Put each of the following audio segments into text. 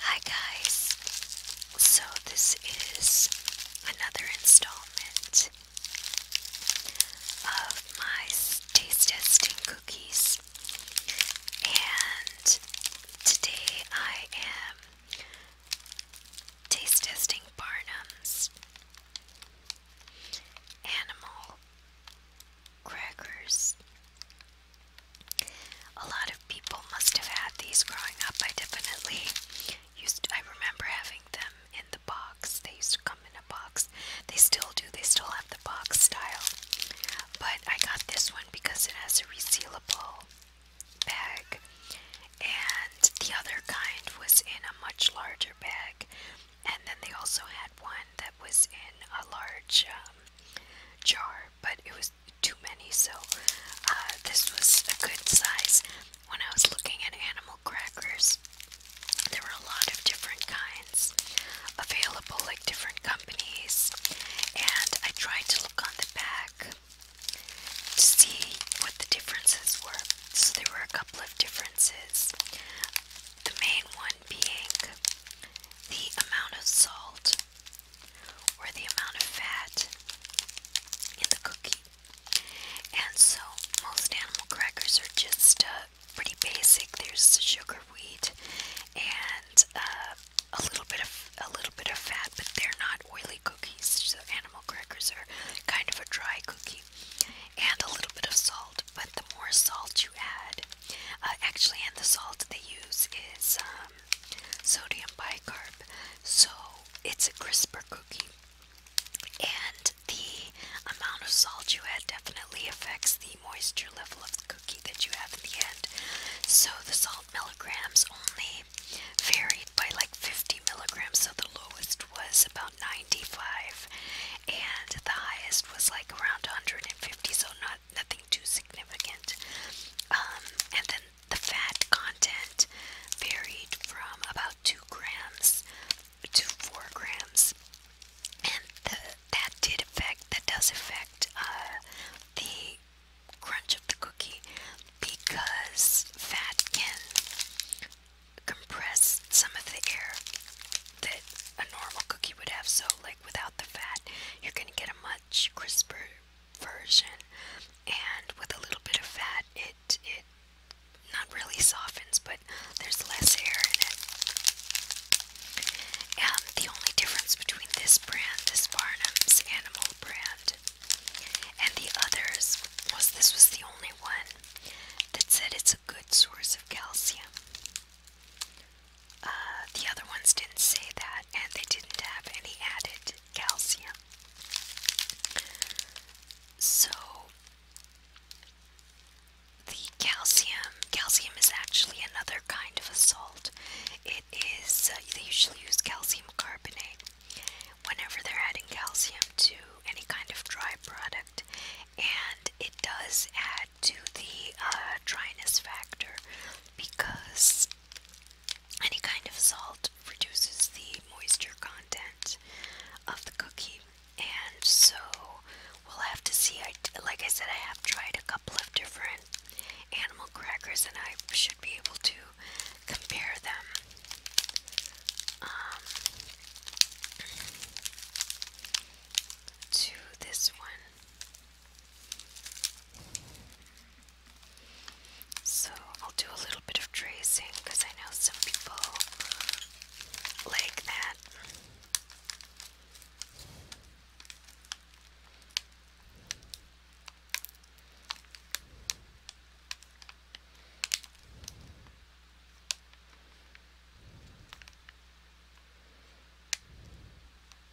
Hi guys, so this is another installment of my taste testing cookies, and today I am taste testing Barnum's animal crackers. A lot of people must have had these growing up. I definitely used. To, I remember having them in the box. They used to come in a box. They still do. They still have the box style. But I got this one because it has a resealable bag, and the other kind was in a much larger bag. And then they also had one that was in a large uh, um, jar, but it was too many, so uh, this was a good size. When I was looking at animal crackers, there were a lot of different kinds available, like different companies, and I tried to look on the back to see what the differences were. So there were a couple of differences. The main one being the amount of salt or the amount of fat in the cookie. And so most animal crackers are just uh, pretty basic. There's sugar wheat and uh, a little bit of a little bit of fat, but they're not oily cookies. So animal crackers are kind of a dry cookie, and a little bit of salt. But the more salt you add, uh, actually, and the salt they use is um, sodium bicarb, so it's a crisper cookie. And the amount of salt you add definitely affects the moisture level of the cookie that you have at the end. So the salt milligrams only varied by like 50 milligrams, so the lowest was about 95, and the highest was like around 150, so not nothing too significant. Um, and then the fat content varied from about two grams to four grams, and that did affect that does affect uh, the crunch of the cookie because fat can compress some of the air that a normal cookie would have. So, like without the fat, you're going to get a much crisper version, and with a little bit of fat, it it not really softens, but there's less air in it. And um, the only difference between this brand, this Barnum's Animal brand, and the others was this was the only one that said it's a good source of calcium. Uh, the other ones didn't say that, and they didn't have any added calcium. So, the calcium, calcium is actually another kind of a salt. It is, uh, they usually use calcium carbonate whenever they're adding calcium to any kind of dry product, and it does add to the uh, dryness factor because any kind of salt reduces the moisture content of the cookie. And so we'll have to see. I, like I said, I have tried a couple of different animal crackers and I should be able to compare them. Um, to this one, so I'll do a little bit of tracing because I know some people like that.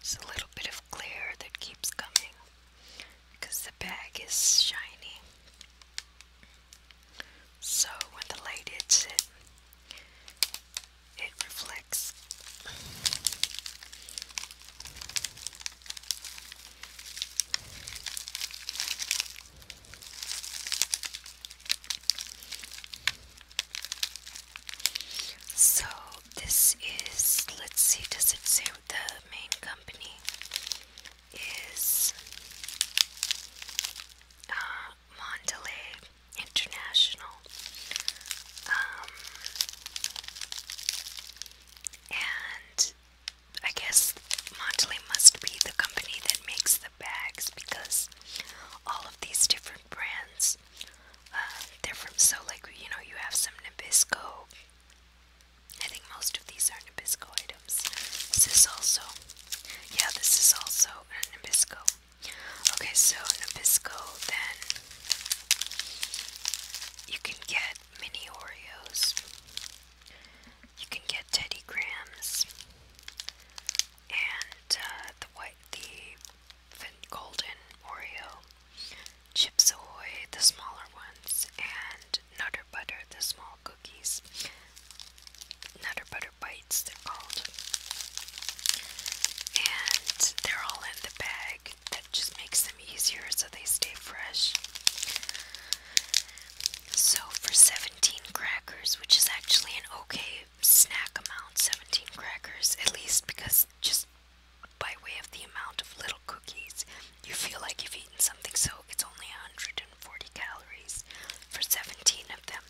It's a little bit of glare that keeps coming because the bag is shiny. So when the light hits it, it reflects. So this is let's see does it say the main company is uh, International um, and I guess Mondeley must be the company that makes the bags because all of these different brands, uh, they're from, so like, you know, you have some Nabisco. I think most of these are Nabisco items. This is also, yeah, this is also Nabisco. Okay, so Nabisco, then you can get mini Oreos you can get Teddy Grahams and uh, the white, the golden Oreo, Chips Ahoy, the smaller ones, and Nutter Butter, the small cookies. Nutter Butter Bites, they're called. And they're all in the bag. That just makes them easier so they stay fresh. So for 17 crackers, which is actually an okay snack amount, 17 crackers, at least because just by way of the amount of little cookies, you feel like you've eaten something, so it's only 140 calories for 17 of them.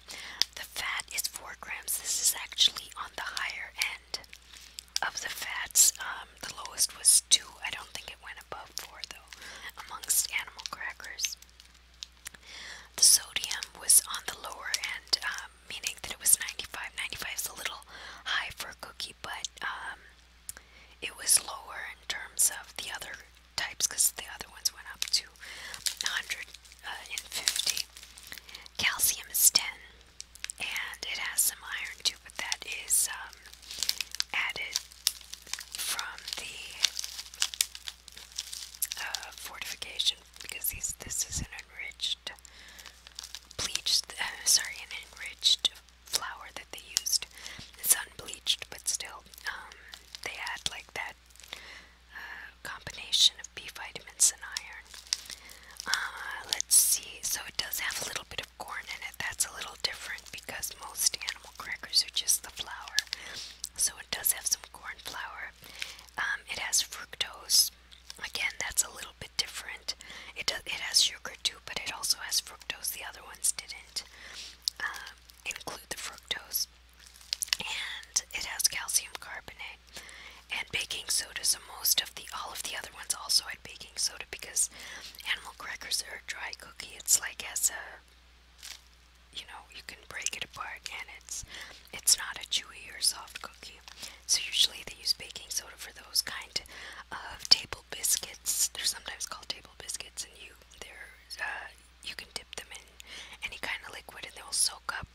The fat is 4 grams. This is actually on the higher end of the fats. Um, the lowest was 2. I don't think it went and above board, though, amongst animal crackers. The sodium was on the lower end, um, meaning that it was 95. 95 is a little high for a cookie, but um, it was lower in terms of the other types because the other ones went up to 150. Uh, Calcium is 10, and it has some iron too, but that is. Uh, um, added from the uh, fortification because this is an enriched bleached, uh, sorry, an enriched flour that they used. It's unbleached, but still, um, they add like that uh, combination of B vitamins and iron. let's see, so it does have a little bit of with corn in it. That's a little different because most animal crackers are just the flour. So it does have some corn flour. Um, it has fructose. Again, that's a little bit different. It does, it has sugar too, but it also has fructose. The other ones didn't uh, include the fructose. And it has calcium carbonate and baking soda. So most of the all of the other ones also had baking soda because animal crackers are dry cookie. It's like as a, you know, you can break it apart, and it's it's not a chewy or soft cookie. So usually they use baking soda for those kind of table biscuits. They're sometimes called table biscuits, and you they're uh, you can dip them in any kind of liquid, and they will soak up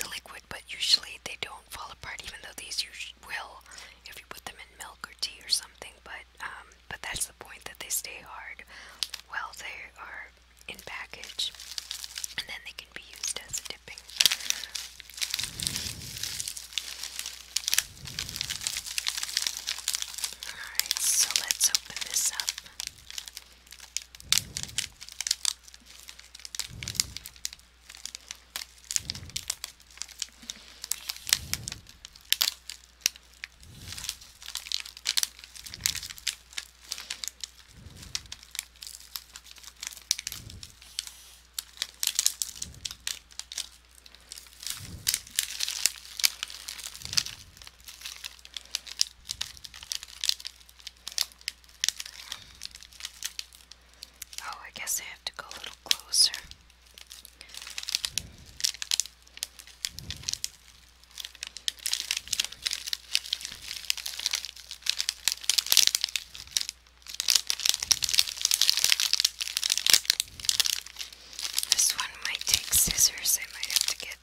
the liquid. But usually they don't fall apart, even though these will if you put them in milk or tea or something. But um, but that's the point that they stay hard while they are in package, and then they can be used as a dipping. Alright, so let's open this up. Oh, I guess I have to go a little closer. This one might take scissors. I might have to get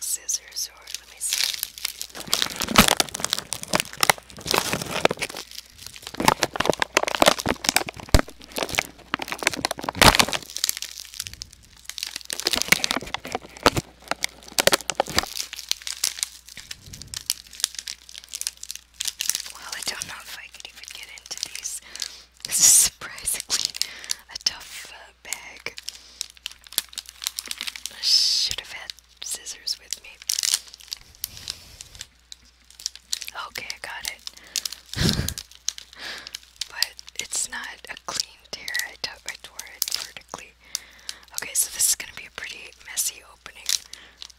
scissors or let me see. Well, I don't know if I could even get into these. This is surprisingly a tough uh, bag. I should have had scissors with me. Okay, I got it. but it's not a clean tear. I, tore it vertically. Okay, so this is going to be a pretty messy opening.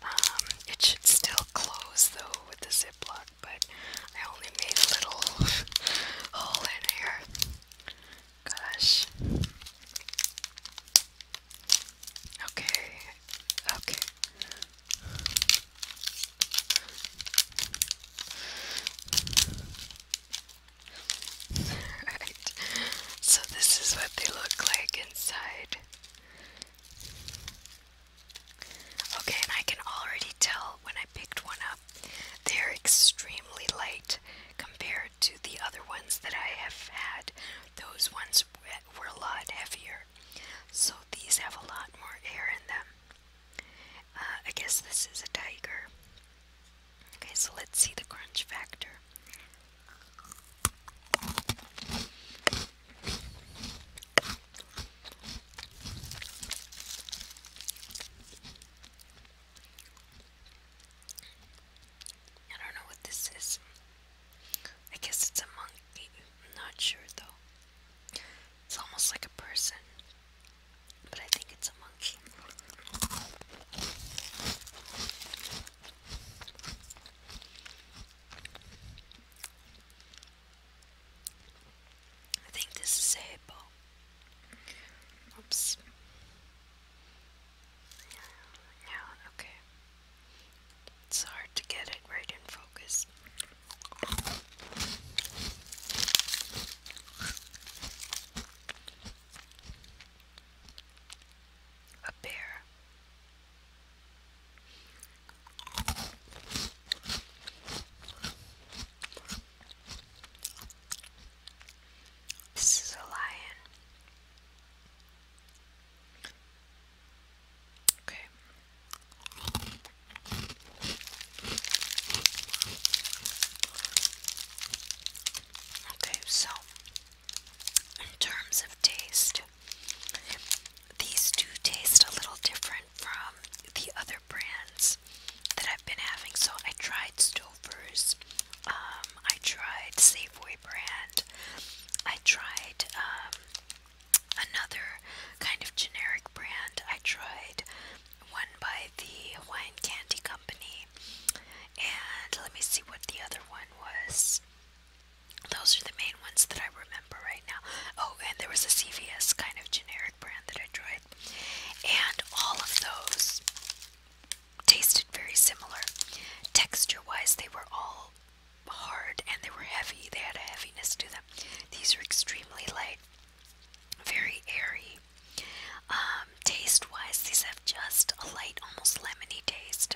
Um, it should still close though with the ziplock, but I only made a little hole in here. Gosh. Okay. Okay. Alright, so this is what they look like inside. Okay, and I can already tell when I picked one up, they're extremely light compared to the other ones that I have had. Those ones were a lot heavier, so these have a lot more air in them. Uh, I guess this is a tiger. Okay, so let's see the crunch factor. I don't know what this is. I guess it's a monkey. not sure though. It's almost like a person, but I think it's a monkey. I think this is a Oops. Yeah, okay. It's hard to get it right in focus. A bear. This is a lion. Okay. Okay, so in terms of taste, these do taste a little different from the other brands that I've been having. So I tried Stouffer's, um, I tried Safeway brand, I tried um, another kind of generic brand I tried, one by the Hawaiian Candy Company. And let me see what the other one was. Those are the main ones that I remember right now. Oh, and there was a CVS kind of generic brand that I tried. And all of those tasted very similar. Texture wise, they were all hard and they were heavy. They had a heaviness to them. These are extremely light, very airy. Um, taste wise, these have just a light, almost lemony taste,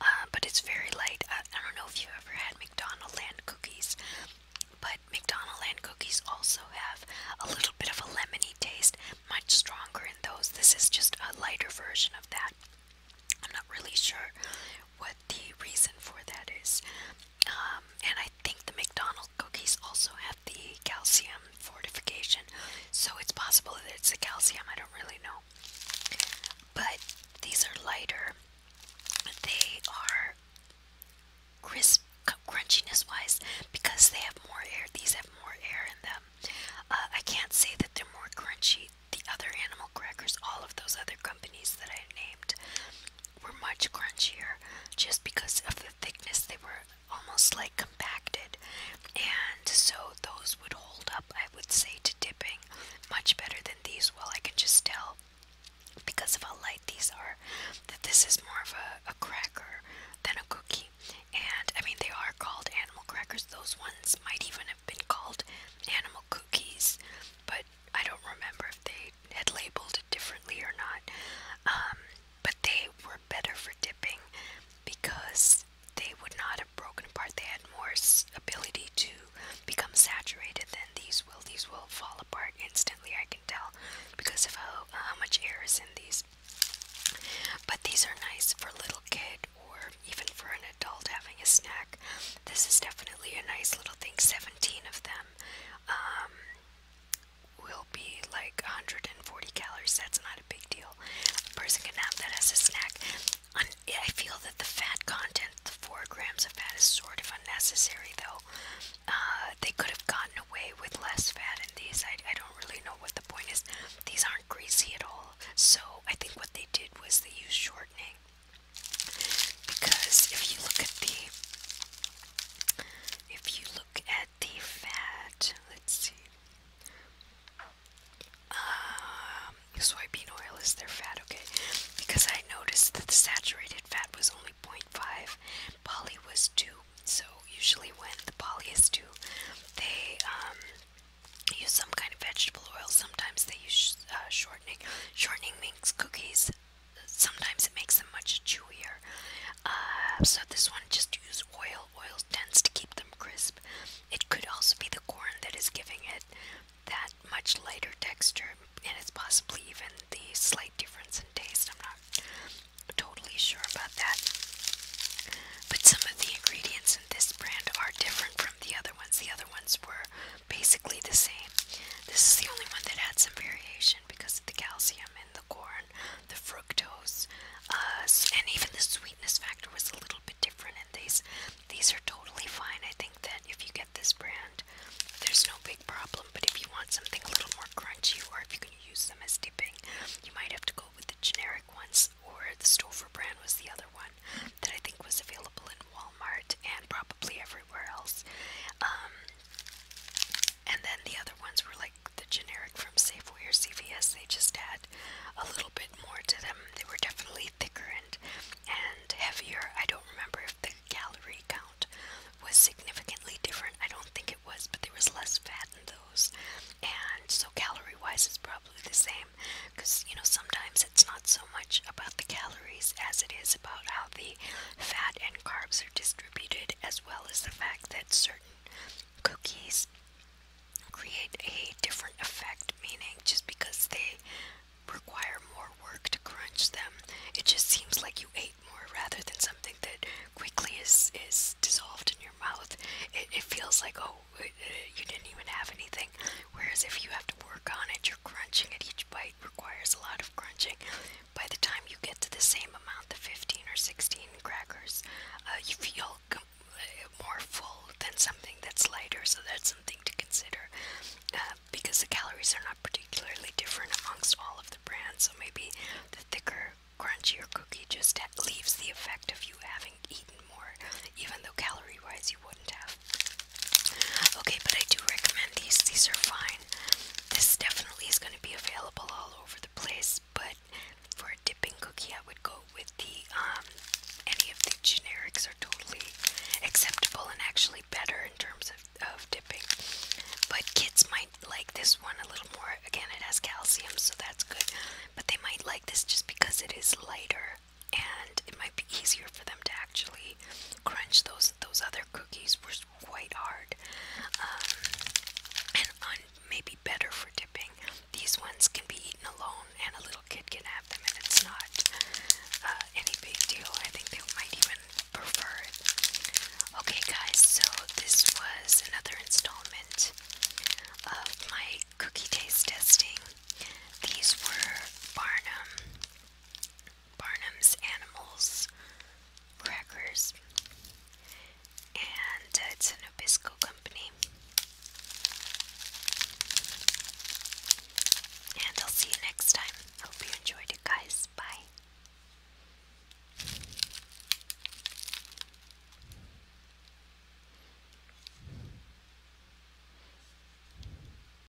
uh, but it's very light. Uh, I, don't know if you've ever had McDonald Land cookies, but McDonald Land cookies also have a little bit of a lemony taste, much stronger in those. This is just a lighter version of that. I'm not really sure what the reason for that is. Um, and I think the McDonald cookies also have the calcium fortification, so it's possible that it's the calcium. I don't really know. But these are lighter. They are crisp, crunchiness wise, because they have more air. These have more air in them. Uh, I can't say that they're more crunchy. The other animal crackers, all of those other companies that I named were much crunchier just because of the thickness. They were almost like compacted, and so those would hold up, I would say, to dipping much better than these. Well, I can just tell because of how light these are that this is more of a, a cracker than a cookie. And I mean, they are called animal crackers, those ones might even have been called animal cookies, but I don't remember if they had labeled it differently or not, um, but they were better for dipping because they would not have broken apart. They had more ability to become saturated than these will. These will fall apart instantly, I can tell, because of uh, how, much air is in these. But these are nice for a little kid or even for an adult a snack. This is definitely a nice little thing. 17 of them um, will be like 140 calories. That's not a big deal. A person can have that as a snack. I feel that the fat content, the 4 grams of fat, is sort of unnecessary though. Uh, they could have gotten away with less fat in these. I don't really know what the point is. These aren't greasy at all. So I think what they did was they used shortening because if you look at the if you look at the fat, let's see. Um, soybean oil is their fat, okay? Because I noticed that the saturated fat was only 0.5, poly was 2. So usually when the poly is 2, they um, use some kind of vegetable oil. Sometimes they use uh, shortening. Shortening makes cookies sometimes it makes them much chewier. Uh, so this one just use oil. Oil tends to keep them crisp. It could also be the corn that is giving it that much lighter texture, and it's possibly even the slight difference in taste. I'm not totally sure about that. But some of the ingredients in this brand are different from the other ones. The other ones were basically the same. This is the only one that had some variation because of the calcium in the corn, the fructose, uh, and even the sweetness factor was a little bit different. And these, these are totally fine. I think that if you get this brand, there's no big problem. But if you want something a little more crunchy, or if you can use them as dipping, you might have to go with the generic ones, or the Stouffer brand was the other one that I think was available available in Walmart and probably everywhere else. Um, and then the other ones were like the generic from Safeway or CVS. They just had a little bit more to them. They were definitely thicker and and heavier. I don't remember if the calorie count was significantly different. I don't think it was, but there was less fat in those. And so calorie wise, it's probably the same. Because you know sometimes it's not so much about the calories as it is about how the variety, fat and carbs are distributed, as well as the fact that certain cookies create a different effect, meaning just because they require more work to crunch them, it just seems like you ate more rather than something that quickly is, is dissolved in your mouth. It, it feels like, oh, it, it, you didn't even have anything. Whereas if you have to work on it, you're crunching at each bite white requires a lot of crunching. By the time you get to the same amount, the 15 or 16 crackers, uh, you feel uh, more full than something that's lighter, so that's something to consider. Uh, because the calories are not particularly different amongst all of the brands, so maybe the thicker, crunchier cookie just leaves the effect of you having eaten more, even though calorie wise you wouldn't have. Okay, but I do recommend these. These are fine. This definitely is going to be available all over the place, but for a dipping cookie, I would go with the, um, any of the generics are totally acceptable and actually better in terms of, of dipping. But kids might like this one a little more. Again, it has calcium, so that's good. But they might like this just because it is lighter and it might be easier for them to actually crunch those those other cookies were quite hard um, and maybe better for dipping these ones can be eaten alone and a little kid can have them and it's not uh, any big deal I think they might even prefer it okay guys so this was another installment of my cookie taste testing these were Barnum Barnum's Animals Crackers, and uh, it's an obisco company. And I'll see you next time. hope you enjoyed it, guys. Bye.